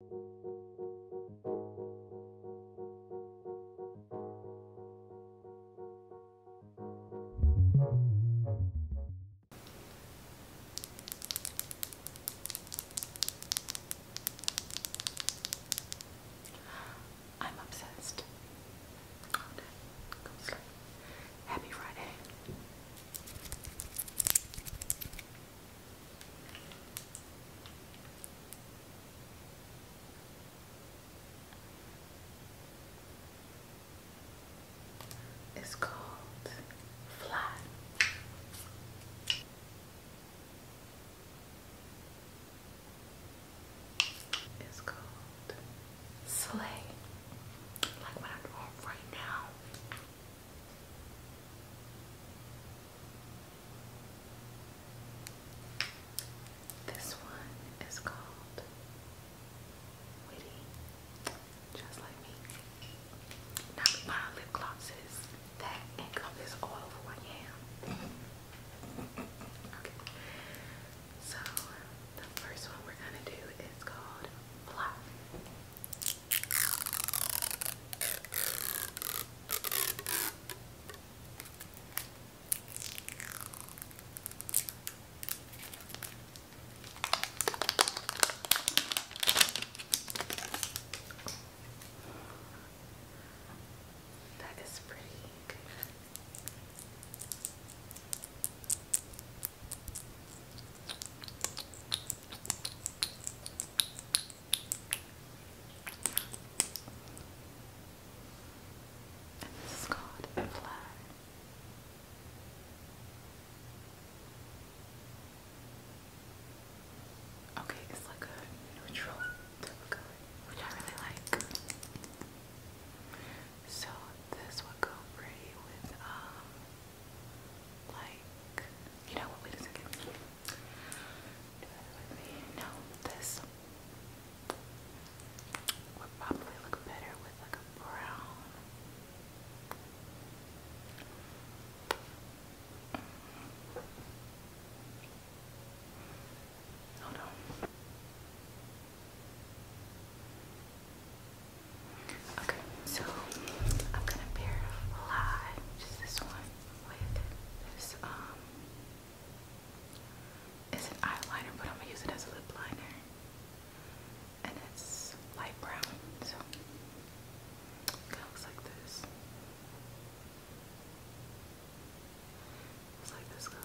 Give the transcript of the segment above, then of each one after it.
I'm obsessed. Okay, go sleep. Happy Friday. It's called Fly. It's called Slay. Like what I'm doing right now. This one is called Witty, just like me. Now we buy lip glosses that encompass all of who I am. Okay. So the first one we're gonna do is called Fly. That is pretty good. And this is called a flag. Okay, it's like a neutral type which I really like. So this would go pretty with um like you know what? Wait a second. Do that with me. No, this would probably look better with like a brown. Hold oh, on. Okay, so I'm gonna pair live, just this one, with this, um, it's an eyeliner, but I'm gonna use it as a lip liner. And it's light brown, so it looks like this. It's like this color.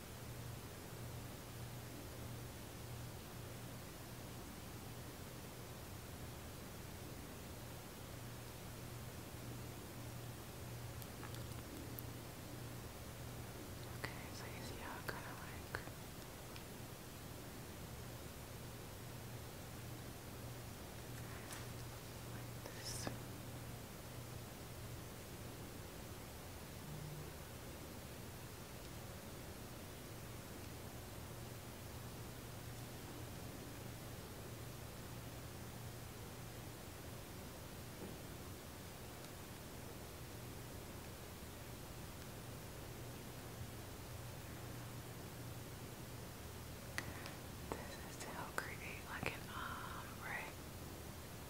Okay, so you see how it kind of like like this. This is to create like an arm, right?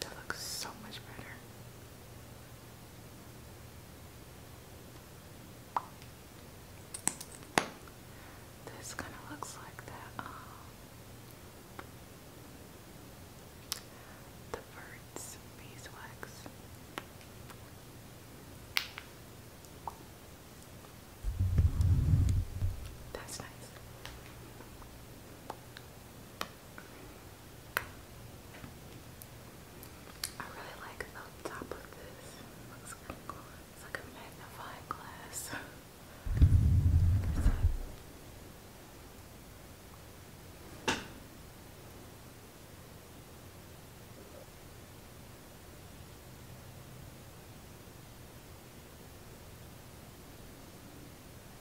That looks so much better. This kind of looks like that. Um, the birds beeswax. That's nice. I really like the top of this. Looks kind of cool. It's like a magnifying glass.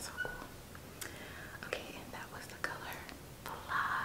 So cool. Okay, and that was the color fly.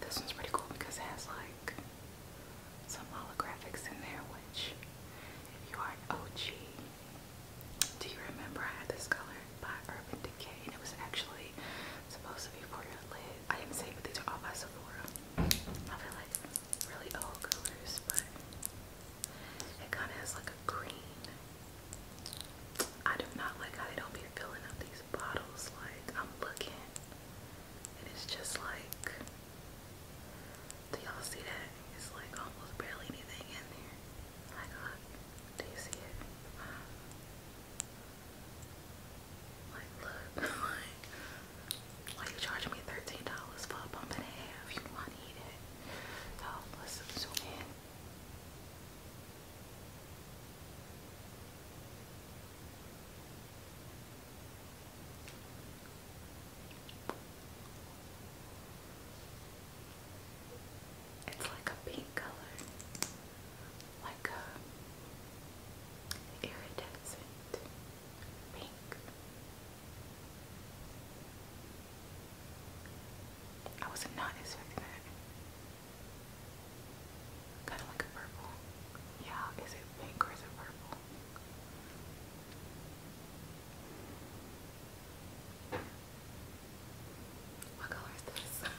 this one's pretty cool because it has like some holographics in there, which if you are an OG do you remember I had this color by Urban Decay and it was actually supposed to be for your lid? I didn't say, but these are all by Sephora. I feel like really old colors, but it kind of has like a green. I do not like how they don't be filling up these bottles. Like I'm looking, and it's just like do y'all see that? It's like almost barely anything in there. My God, do you see it? Like, look, like, why you charging me $13 for a pump and a half? You know I need it. let's zoom in. It's like a pink color, like a iridescent pink. I was not expecting that. Kind of like a purple. Yeah, is it pink or is it purple? What color is this?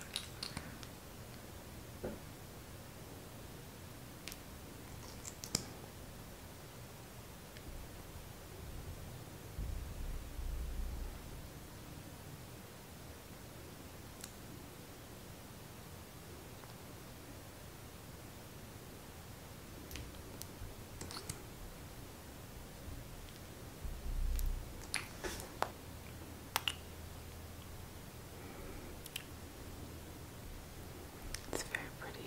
It's very pretty.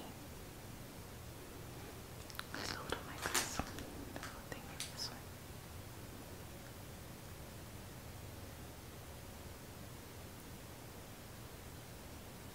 Just a little like this. thing this way.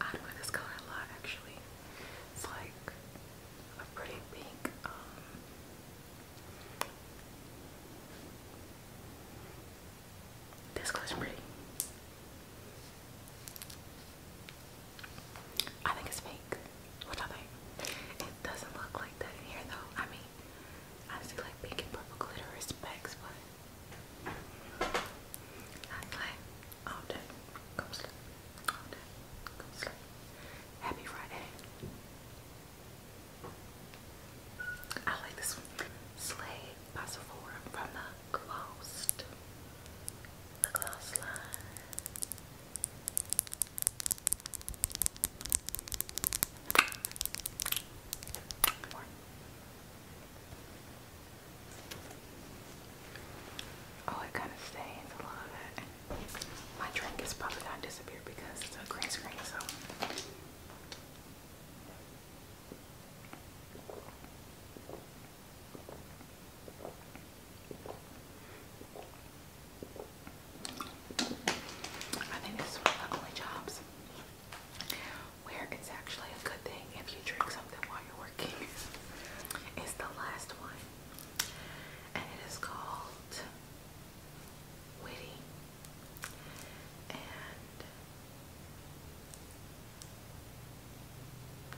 I do this color a lot actually. It's like a pretty pink, um this color's pretty. I think it's fake. What do I It doesn't look like that in here though. I mean, I see like pink and purple glitter or specs, but I'm like, sleep. All day, go sleep. Happy Friday. I like this one. Slay by Sephora from the Glossed. The Gloss line. Oh, it kind of stains a lot of it. My drink is probably gonna disappear because it's a green screen, so. I think this one of the only jobs where it's actually a good thing if you drink something while you're working. It's the last one, and it is called Witty. And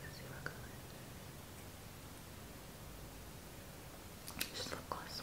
let's see what color. Just look close.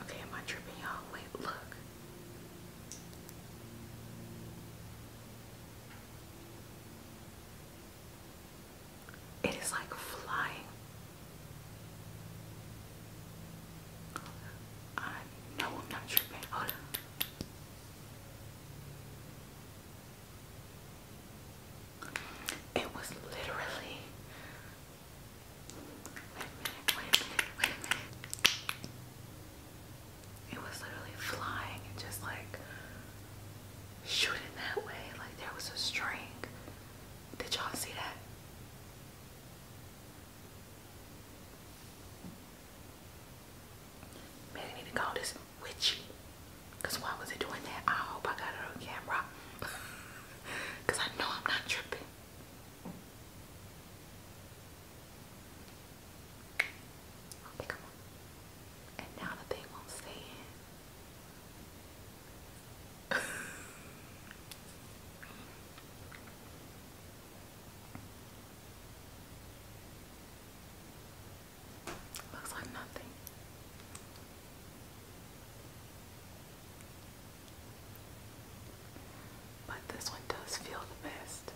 Okay, am I tripping y'all? Wait, look. It is like flying. I know I'm not tripping. It was literally it was literally flying and just like shooting that way. Like there was a string. Did y'all see that? Man, I need to call this witchy. Cause why was it doing that? I hope I got it camera. Because I know I'm not tripping. Okay, come on. And now the thing won't stay Looks like nothing. But this one does feel the best.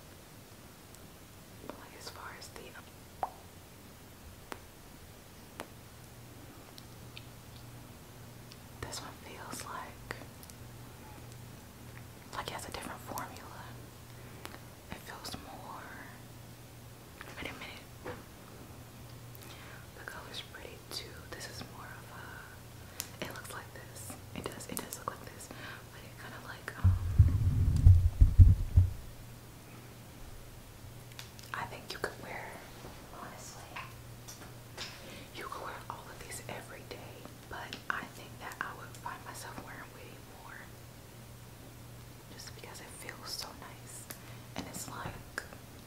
Like as far as the this one feels like like it has a different formula. It feels more Wait a minute. The color's pretty too. This is more of a. It looks like this. It does. It does look like this, but it kind of like um. I think you could wear. Honestly, you could wear all of these every day, but I think that I would find myself wearing way more. Just because it feels so nice, and it's like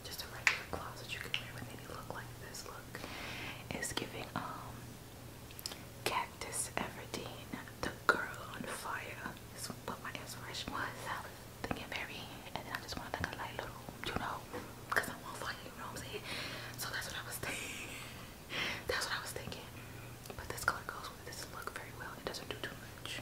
just a regular closet you can wear with any look like this look. It's giving um Cactus Everdeen, the girl on fire. Is my inspiration was. I was thinking and then I just wanted like a light little, you know, because I'm on fire, you know what I'm So that's what I was thinking. that's what I was thinking. But this color goes with this look very well. It doesn't do too much.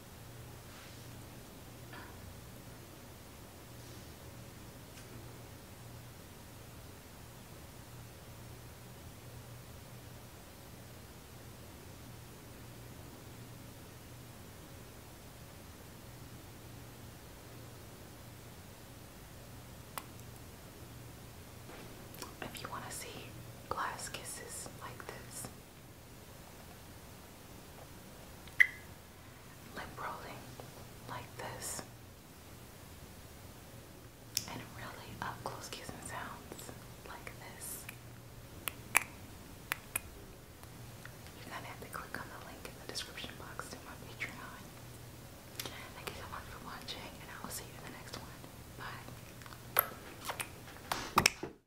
If you want to see glass kisses like this, lip rolling like this and really up close kissing sounds like this. You're to have to click on the link in the description box to my Patreon. Thank you so much for watching and I will see you in the next one. Bye.